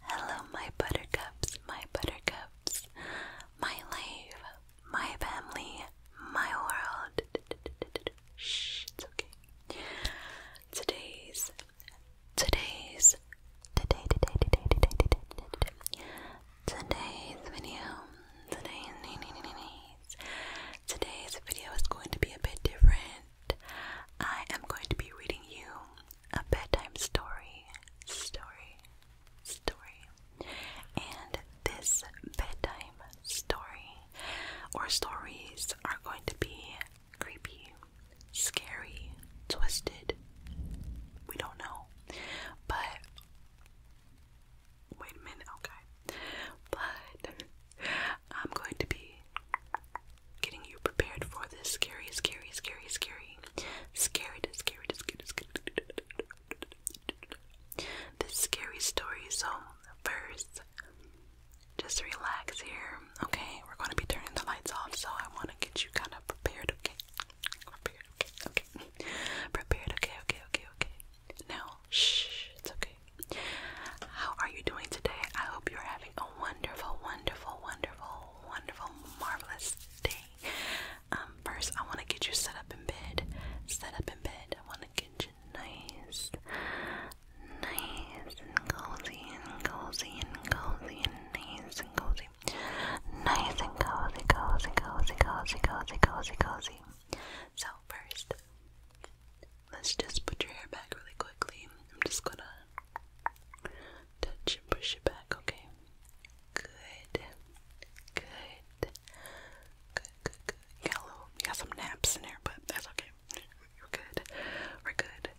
Hello, my buttercups, my buttercups, my life, my family, my world. Shh, it's okay. Today's, today's, today, today, today's video, today's, today's video is going to be a bit different. I am going to be reading you a bedtime story, story, story. And this bedtime story or stories are going to be creepy, scary, twisted. We don't know. But wait a minute, okay. But I'm going to be Getting you prepared for this scary, scary, scary, scary, scary, scary, scary, scary, this scary story. So, first, just relax here, okay? We're going to be turning the lights off, so I want to get you kind of prepared, okay? Prepared, okay, okay. Prepared, okay, okay, okay, okay. Now, shh, it's okay. How are you doing today? I hope you're having a wonderful, wonderful, wonderful, wonderful, marvelous day. Um, first, I want to get you set up in bed. Set up in bed. I want to get you nice, nice and cozy and cozy and cozy and nice and cozy. Nice and cozy, cozy, cozy, cozy, cozy, cozy, cozy. So first, let's just put your hair back really quickly. I'm just gonna touch and push it back, okay? Good. Good. Good, good, good. You got, a got some naps in there, but that's okay. We're good. We're good.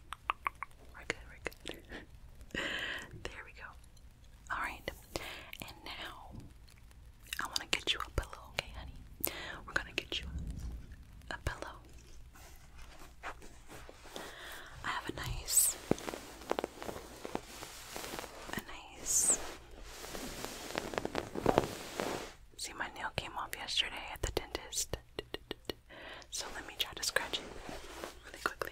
We're good, we're good. there we go. Alright. And now, I want to get you a pillow, okay, honey? We're going to get you a pillow. I have a nice, a nice. See, my nail came off yesterday at the dentist, so let me try to scratch it really quickly.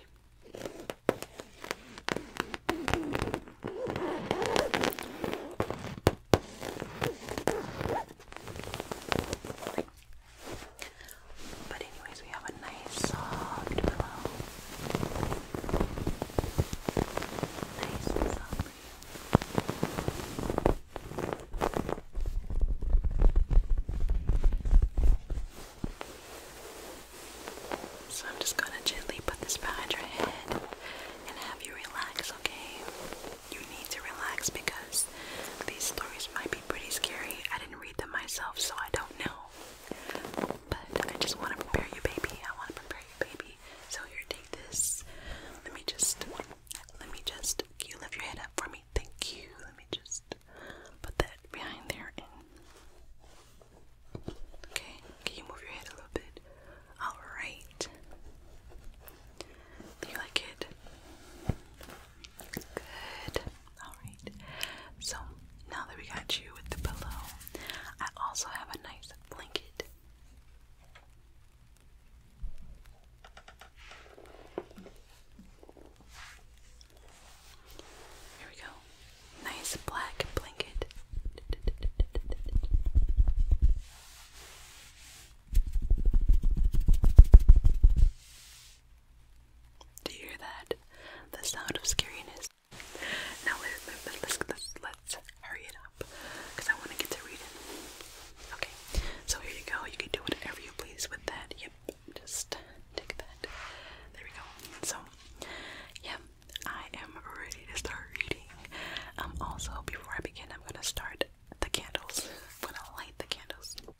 But anyways, we have a nice soft pillow. Nice soft So I'm just gonna gently put this behind your head and have you relax, okay? you need to relax because these stories might be pretty scary. I didn't read them myself, so I don't know. But I just want to prepare you, baby. I want to prepare you, baby. So here, take this. Let me just, let me just. Can you lift your head up for me? Thank you. Let me just put that behind there and. Okay. Can you move your head a little bit? All right. Do you like it? Good. Alright. So now that we got you with the pillow, I also have a nice blanket. Here we go. Nice black blanket. Do you hear that? The sound of scariness. Now let's, hurry it up because I want to get to reading. Okay, so here you go. You can do whatever you please with that. Yep, just take that. There we go. So, yeah, I am ready to start reading. Um, also, before I begin, I'm gonna start the candles. I'm gonna light the candles.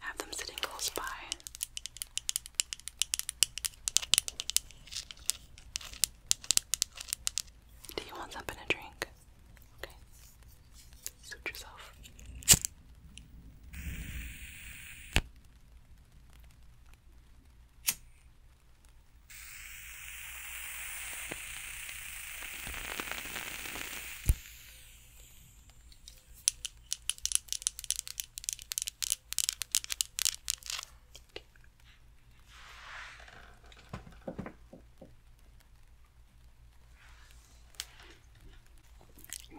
have them sitting close by. Do you want something to drink? Okay. Suit yourself.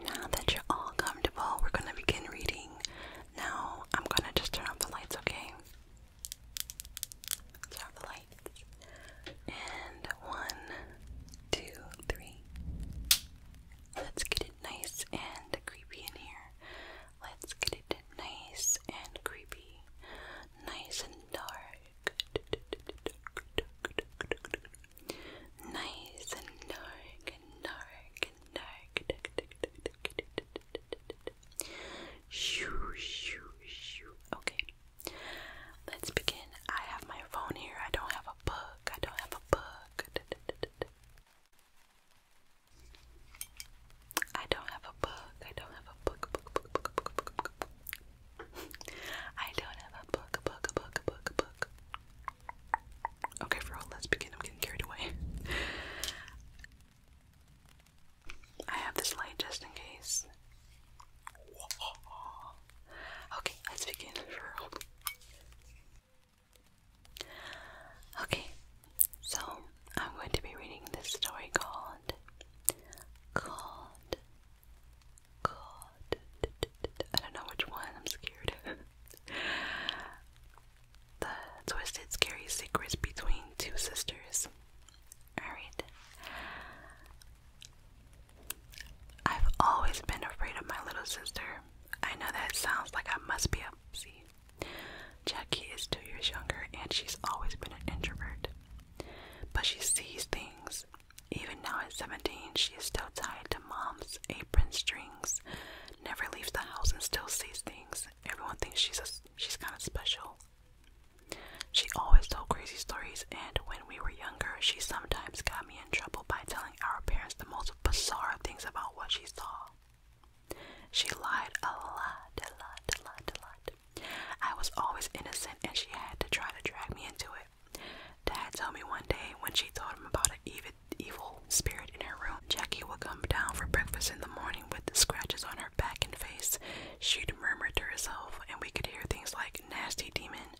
Now that you're all comfortable, we're going to begin reading. Now, I'm going to just turn off the lights, okay? Turn off the lights. And one, two, three. Let's get it nice and creepy in here. Let's get it nice and creepy. Nice and dark. Nice and dark and dark and dark. Shoo, shoo, shoo. Okay. Let's begin. I have my phone here. I don't have book. I don't have a book. I don't have a book. I don't have a book. I don't have a book. Okay, for let's begin. I'm getting carried away. I have this light just in case. Okay, let's begin. Okay, so I'm going to be reading this story called called called I don't know which one, I'm scared. the twisted scary secrets between two sisters. Alright. I've always been afraid of my little sister. I know that sounds like I must be a pussy. Jackie is two years younger and she's always been an introvert. But she sees things. Even now at 17, she is still tied to mom's apron strings, never leaves the house and still sees things. Everyone thinks she's a, she's kind of special. She always told crazy stories, and when we were younger, she sometimes got me in trouble by telling our parents the most bizarre things about what she saw. She lied a lot, a lot, a lot, a lot. I was always innocent and she had to try to drag me into it. Dad told me one day when she told him about an evil, spirit in her room, Jackie would come down for breakfast in the morning with the scratches on her back and face. She'd murmur to herself, and we could hear things like nasty demon,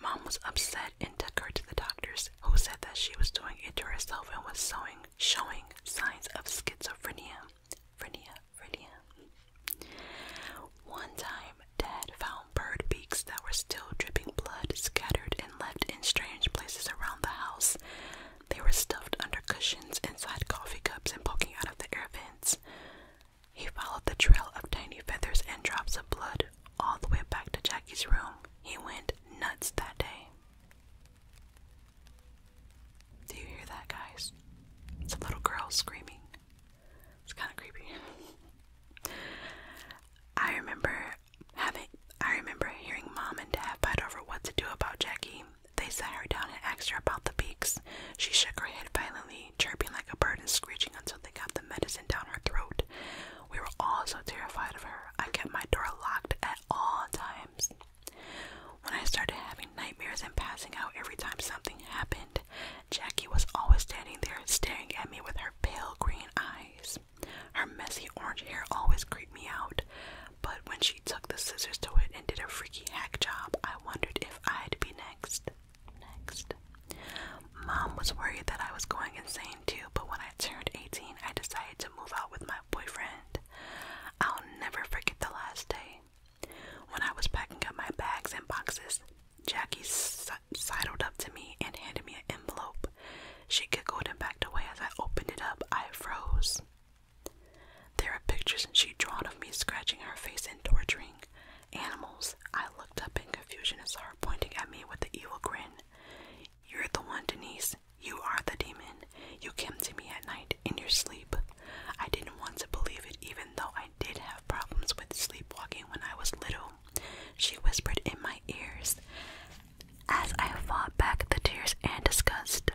Mom was upset and took her to the doctors, who said that she was doing it to herself and was showing, signs of schizophrenia. One time, Dad found bird beaks that were still dripping blood, scattered and left in strange places around the house. They were stuffed under cushions, inside coffee cups, and poking out of the air vents. He followed the trail of tiny feathers and drops of blood all the way back to Jackie's room. He went nuts that day. Do you hear that, guys? It's little girl screaming. It's kind of creepy. I remember having I remember hearing mom and dad fight over what to do about Jackie. They sat her down and asked her about the beaks. She shook her head violently chirping like a bird, and screeching until they got the medicine down her throat. We were all so terrified of her. I kept my door locked at all times. When I started having nightmares and passing out every time something happened, Jackie was always standing there staring at me with her pale green eyes. Her messy orange hair always creeped me out, but when she took the scissors to it and did a freaky hack job, I wondered if I'd be next. Next. Mom was worried that I was going insane too, but when I turned 18, I decided to move out with my boyfriend. I'll never forget the last day. When I was packing up my bags and boxes, Jackie sidled up to me and handed me an envelope. She giggled and backed away as I opened it up. I froze. There are pictures she'd drawn of me scratching her face and torturing. Animals, I looked up in confusion and saw her pointing at me with an evil grin. You're the one, Denise. You are the demon. You came to me at night in your sleep. I didn't want to believe it, even though I did have problems with sleepwalking when I was little. She whispered in my ears as I fought back the tears and disgust.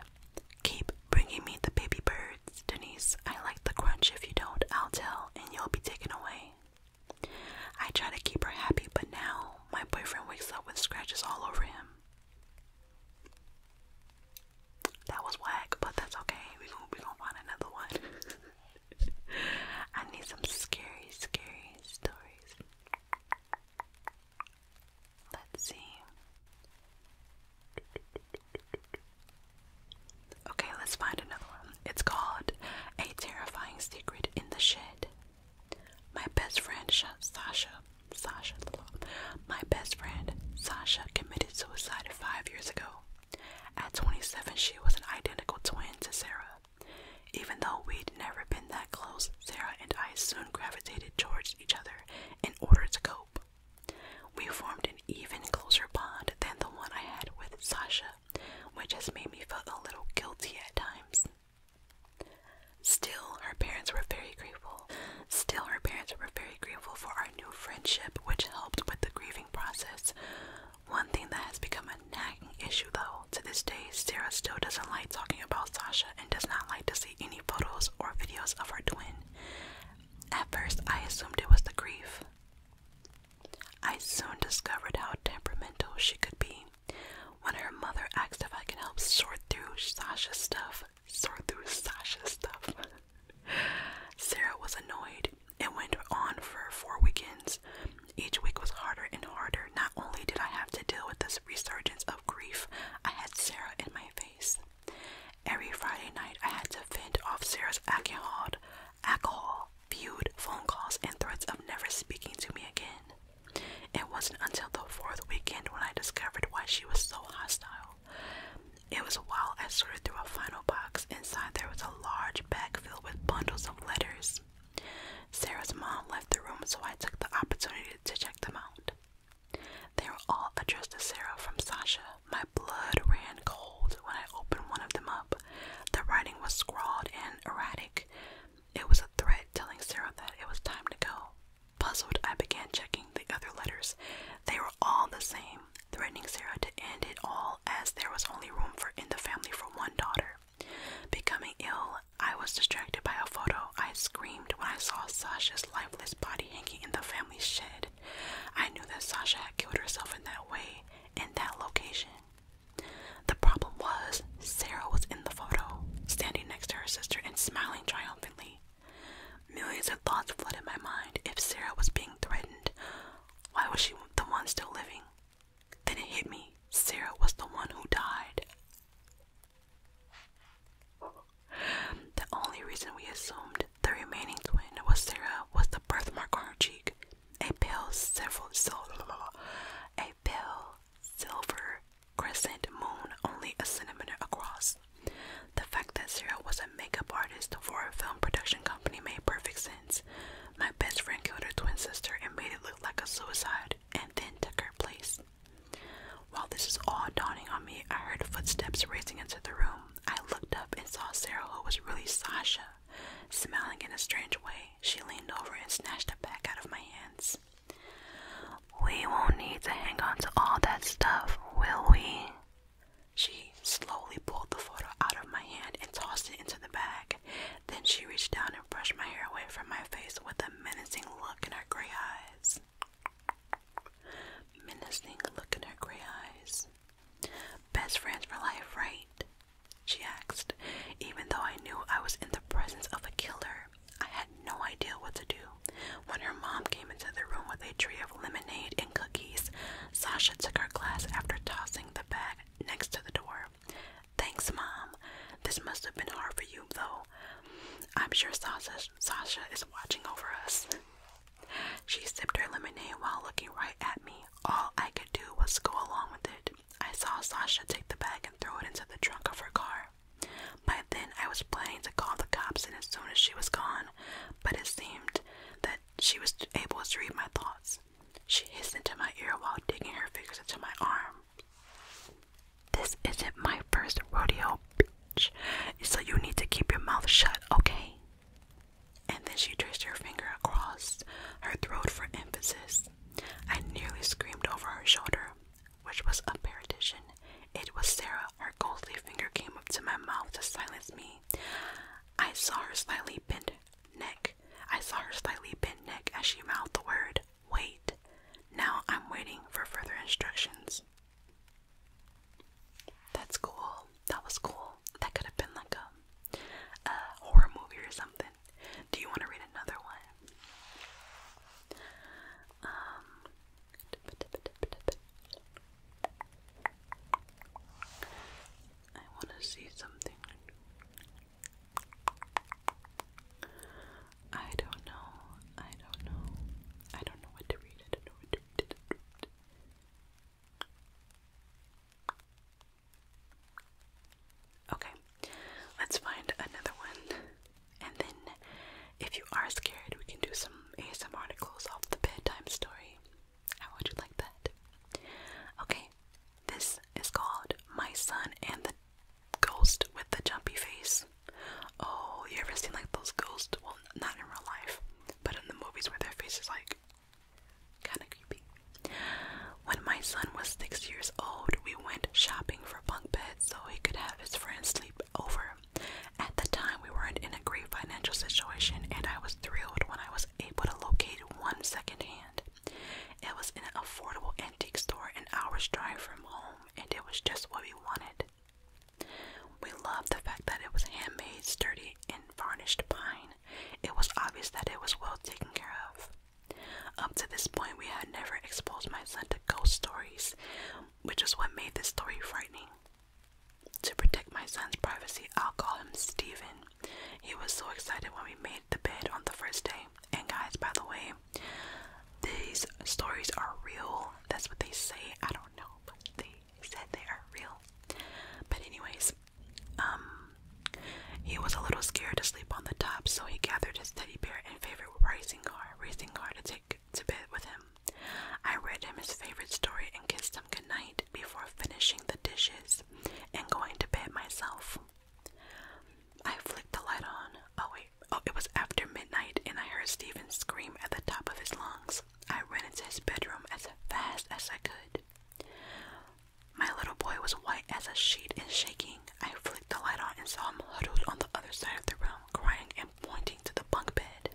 Keep bringing me the baby birds, Denise. I like the crunch. If you don't, I'll tell, and you'll be taken away. I try to keep her happy, but now my boyfriend wakes up with scratches all over him. That was whack, but that's okay. We're gonna, we going to find another one. I need some scary, scary stories. Let's see. Okay, let's find another one. It's called A Terrifying Secret in the Shed. My best friend Sh Sasha, Sasha, my best friend Sasha committed suicide five years ago. At 27, she was an identical twin to Sarah. Even though we'd never been that close, Sarah and I soon gravitated towards each other in order to cope. We formed an even closer bond than the one I had with Sasha, which has made me feel a little guilty at times. Still, her parents were very grateful. Still, her parents were very grateful for our new friendship, which helped with the grieving process. One thing that has become a nagging issue, though, to this day, Sarah still doesn't like talking about Sasha and does not like to see any photos or videos of her twin. At first, I assumed it was the grief. I soon discovered how temperamental she could be. When her mother asked if I could help sort through Sasha's stuff, sort through Sasha's stuff, Sarah was annoyed and went on for four weekends. Each week was harder and harder. Not only did I have to deal with this resurgence of grief, I had Sarah in my face. Every Friday night, I had to fend off Sarah's alcohol, alcohol, feud, phone calls, and threats of never speaking to me again. It wasn't until the fourth weekend when I discovered why she was so hostile. It was while I sorted through a final box. Inside there was a large bag filled with bundles of letters. Sarah's mom left the room, so I took the opportunity to check them out. They were all addressed to Sarah from Sasha. My blood ran cold when I opened one of them up. The writing was scrawled and erratic. It was a threat telling Sarah that it was time to go. Puzzled, I began checking the other letters. They were all the same, threatening Sarah to end it all as there was only room for in the family for one daughter. Becoming ill, I was distracted by a photo. I screamed when I saw Sasha's lifeless body hanging in the family shed. I knew that Sasha had killed herself in that way, in that location. The problem was, Sarah was in the photo, standing next to her sister and smiling triumphantly. Millions of thoughts flooded my mind. If Sarah was being threatened, why was she the one still living? Then it hit me. Sarah was the one who died. The only reason we assumed the remaining twin was Sarah with the birthmark on her cheek. A pale several a pale silver crescent moon only a centimeter across. The fact that Sarah was a makeup artist for a film production company made perfect sense. My best friend killed her twin sister and made it look like a suicide and then took her place. While this is all dawning on me, I heard footsteps racing into the room. I looked up and saw Sarah, who was really Sasha, smiling in a strange way. She leaned over and snatched it back out of my hands. We won't need to hang on to all that stuff, will we? She slowly pulled the photo out of my hand and tossed it into the bag. Then she reached down and brushed my hair away from my face with a menacing look in her gray eyes. Menacing look in her gray eyes. Best friends for life, right? She asked. Even though I knew I was in the presence of a killer, I had no idea what to do. When her mom came into the room with a tray of lemonade and cookies, Sasha took her glass after tossing the bag next to the door. Thanks, Mom. This must have been hard for you, though. I'm sure Sasha, Sasha is watching over us. She sipped her lemonade while looking right at me. All I could do was go along with it. I saw Sasha take the bag and throw it into the trunk of her car. By then, I was planning to call the cops, and as soon as she was gone, but it seemed that she was able to read my thoughts. She hissed into my ear while digging her fingers into my arm. This isn't my first rodeo, bitch, so you need to keep your mouth shut, okay? And then she traced her finger across her throat for emphasis. I nearly screamed over her shoulder, which was a parrot It was Sarah. Her ghostly finger came up to my mouth to silence me. I saw her slightly bent neck. I saw her slightly bent neck as she mouthed the word, wait. Now I'm waiting for further instructions. That's cool. That was cool. That could have been like a, a horror movie or something. Do you want to read another one? Um, I want to see something. I don't know. I don't know. I don't know what to read. I don't know what to read. Okay, let's find another one. And then, if you are scared, we can do some ASM articles off the bedtime story. How would you like that? Okay, this is called My Son and the Ghost with the Jumpy Face. Oh, you ever seen like those ghosts? Well, not in real life, but in the movies where their face is like kind of creepy. When my son was six years old, we went shopping for bunk beds so he could have his friends sleep over. At the time, we weren't in a great financial situation, and I was thrilled when I was able to locate one secondhand. It was in an affordable antique store an hour's drive from home, and it was just what we wanted. We loved the fact that it was handmade, sturdy, and varnished pine. It was obvious that it was well taken care of. Up to this point, we had never exposed my son to ghost stories, which is what made this story frightening. To protect my son's privacy, I'll call him Steven. He was so excited when we made the bed on the first day. And, guys, by the way, these stories are real. That's what they say. I don't know, but they said they are real. But anyways, um he was a little scared to sleep on the top, so he gathered his teddy bear and favorite racing car, racing car to take to bed with him. I read him his favorite story and kissed him goodnight before finishing the dishes and going to bed myself. I flicked the light on. Oh wait, oh it was after midnight and I heard Steven scream at the top of his lungs. I ran into his bedroom as fast as I could. My little boy was white as a sheet and shaking. I flicked the light on and saw him huddled on the other side of the room, crying and pointing to the bunk bed.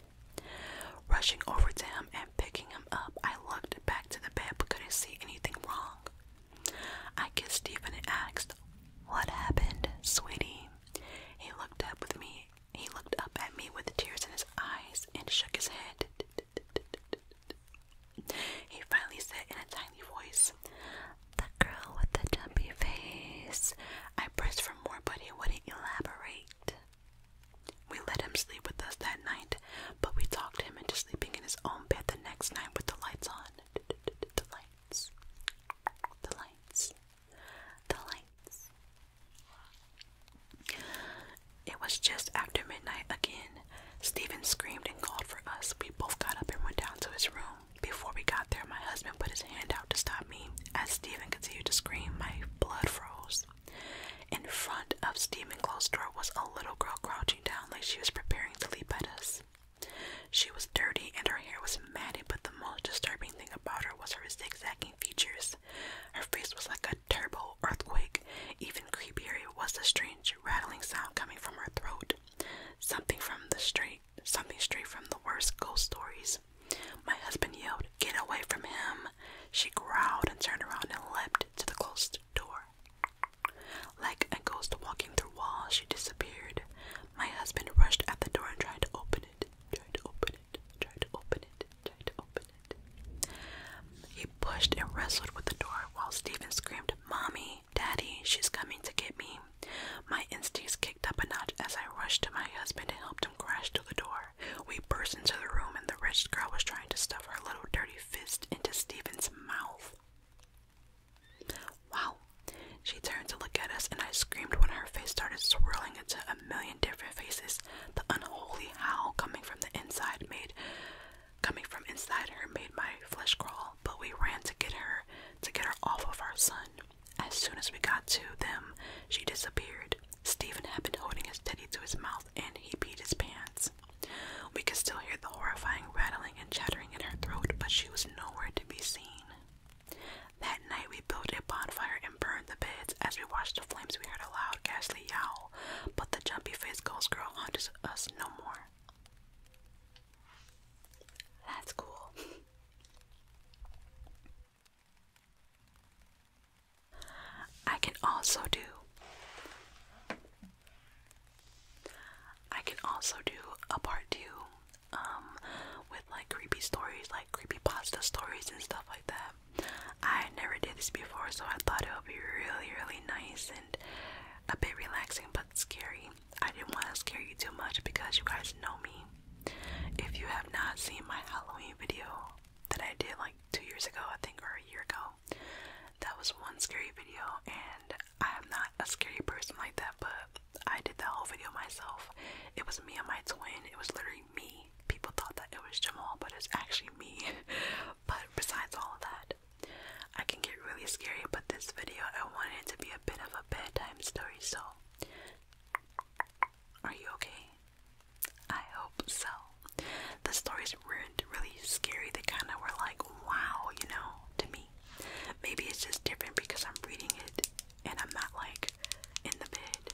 Rushing over to him and picking him up, I looked back to the bed but couldn't see anything wrong. I kissed Stephen and asked, What happened, sweetie? He looked up at me he looked up at me with tears in his eyes and shook his head. He finally said in a tiny voice, The girl with the dumpy face. I pressed for more, but he wouldn't elaborate. We let him sleep with us that night, but we talked him into sleeping in his own bed the next night with the lights on. The lights. The lights. The lights. It was just after midnight again. Stephen screamed and called for us. We both got up and went down to his room. Before we got there, my husband put his hand out to stop me. As Stephen continued to scream, my blood froze. In front of Stephen's closed door was a little girl crouching down like she was preparing to leap at us. She was dirty and her hair was matted, but the most disturbing thing about her was her zigzagging features. Her face was like a terrible earthquake. Even creepier was the strange rattling sound coming from her throat. Something from the street, something straight from the worst ghost stories. My husband yelled, Get away from him. She growled and turned around and leapt to the closed door. Like a ghost walking through walls, she disappeared. My husband rushed at the door and tried to open it. Tried to open it, to open it, try to open it. He pushed and wrestled with the door while Stephen screamed, Mommy, Daddy, she's coming to get me. My instincts kicked up a notch as I rushed to my husband and helped him crash to the door. We burst into the room, and the wretched girl was trying to stuff her little dirty fist into Stephen's mouth. Wow. She turned to look at us, and I screamed when her face started swirling into a million different faces. The unholy howl coming from the inside made coming from inside her made my flesh crawl, but we ran to get her to get her off of our son. As soon as we got to them, she disappeared. Stephen had been holding his teddy to his mouth and he beat his pants. We could still hear the horrifying rattling and chattering in her throat, but she was nowhere to be seen. That night we built a bonfire and burned the beds. As we watched the flames, we heard a loud, ghastly yowl. But the jumpy-faced ghost girl haunts us no more. That's cool. I can also do. I can also do a part two, um, with like creepy stories, like like creepypasta stories and stuff like that. I never did this before, so I thought it would be really, really nice and a bit relaxing but scary. I didn't want to scare you too much because you guys know me. If you have not seen my Halloween video that I did like two years ago, I think, or a year ago, that was one scary video, and I am not a scary person like that, but I did that whole video myself. It was me and my twin. It was literally me. People thought that it was Jamal, but it's actually me. but besides all of that, I can get really scary, but this video I wanted to be a bit of a bedtime story, so are you okay? I hope so. The stories were really scary, they kinda were like wow, you know, to me. Maybe it's just different because I'm reading it and I'm not like in the bed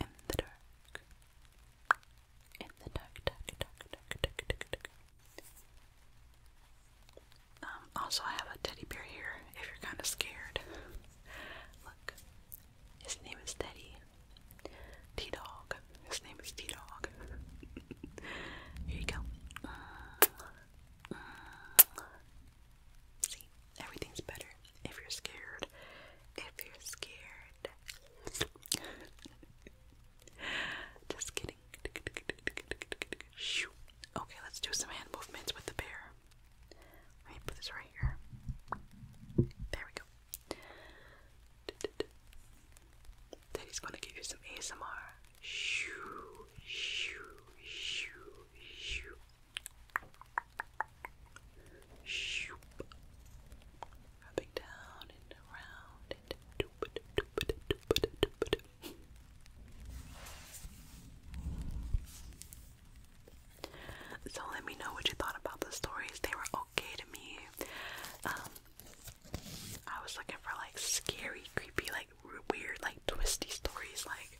in the dark. In the dark, dark, dark, dark, dark, dark, dark. Um, also, I have a teddy bear here if you're kind of scared. Look, his name is Teddy. T Dog. His name is T Dog. here you go. Mm -hmm. See, everything's better if you're scared. If you're scared. Just kidding. Okay, let's do some hand movements with the bear. Let put this right here. There we go. Daddy's gonna give you some ASMR. Shoo, shoo, shoo, shoo. Shoop. Rubbing down and around and doop it, doop it, doop doop So let me know what you thought about the stories. They were okay to me. Um, I was looking for like scary, creepy, like weird, like twisty stories, like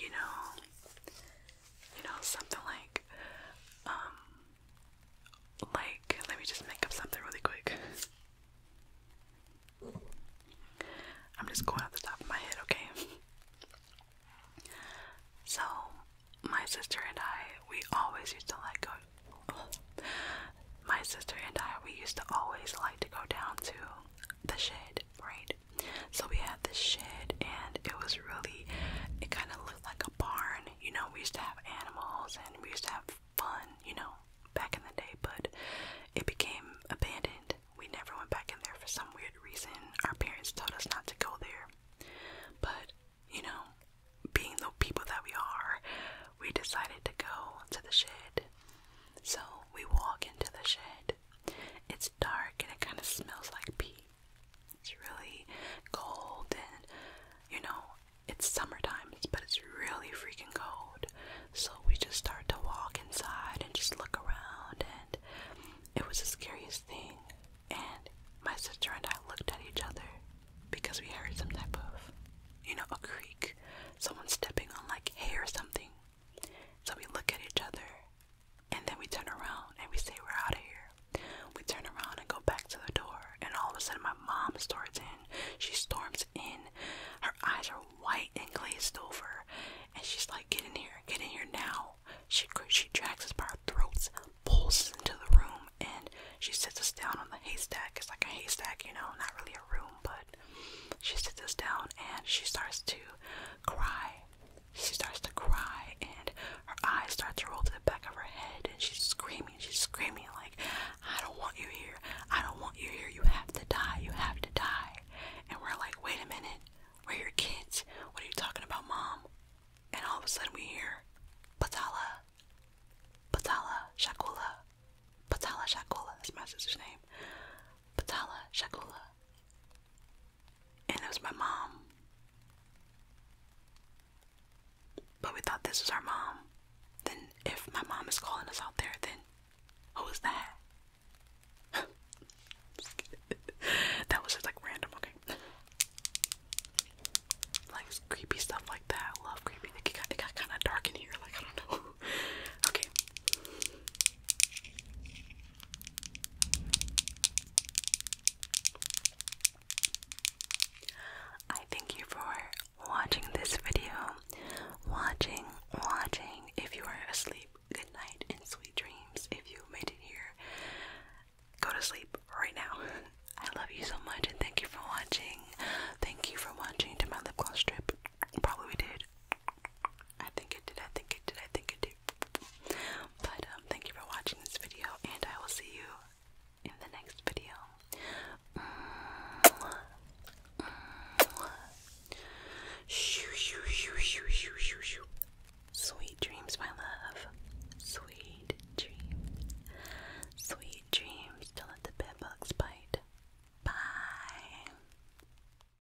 you know, you know, something like, um, like, let me just make up something really quick. I'm just going off the top of my head, okay? So, my sister and I, we always used to like go. my sister and I, we used to always like to go down to the shed, right? So we had this shed, and it was really, it kind of looked like a barn. You know, we used to have animals and we used to have fun, you know, back in the day, but it became abandoned. We never went back in there for some weird reason. Our parents told us not to go there. But, you know, being the people that we are, we decided to go to the shed. So we walk into the shed. It dark and it kind of smells like pee. It's really cold and you know, it's summertime, but it's really freaking cold. So we just start to walk inside and just look around and it was the scariest thing. And my sister and I looked at each other because we heard some type of, you know, a creak, someone stepping on like hay or something. So we look at each other and then we turn around and we say we're out of here. We turn around and go back to the door, and all of a sudden my mom storms in. She storms in. Her eyes are white and glazed over, and she's like, "Get in here! Get in here now!" She she drags us by our throats, pulls us into the room, and she sits us down on the haystack. It's like a haystack, you know, not really a room, but she sits us down and she starts to cry she starts to cry and her eyes start to roll to the back of her head and she's screaming she's screaming like i don't want you here i don't want you here you have to die you have to die and we're like wait a minute we're your kids what are you talking about mom and all of a sudden we hear patala patala shakula patala shakula that's my sister's name patala shakula and it was my mom. But we thought this was our mom. Then, if my mom is calling us out there, then who is that? that was just like random, okay? Like creepy stuff like that. love creepy. it got kind of dark in here. Like I don't know. okay. I thank you for watching this video. Watching, watching. If you are asleep, good night and sweet dreams. If you made it here, go to sleep right now. I love you so much and thank you for watching. Thank you for watching to my lip gloss strip. Probably did. I think it did. I think it did. I think it did. But um, thank you for watching this video, and I will see you in the next video. Sweet dreams, my love. Sweet dreams. Sweet dreams. Don't let the bed bugs bite. Bye.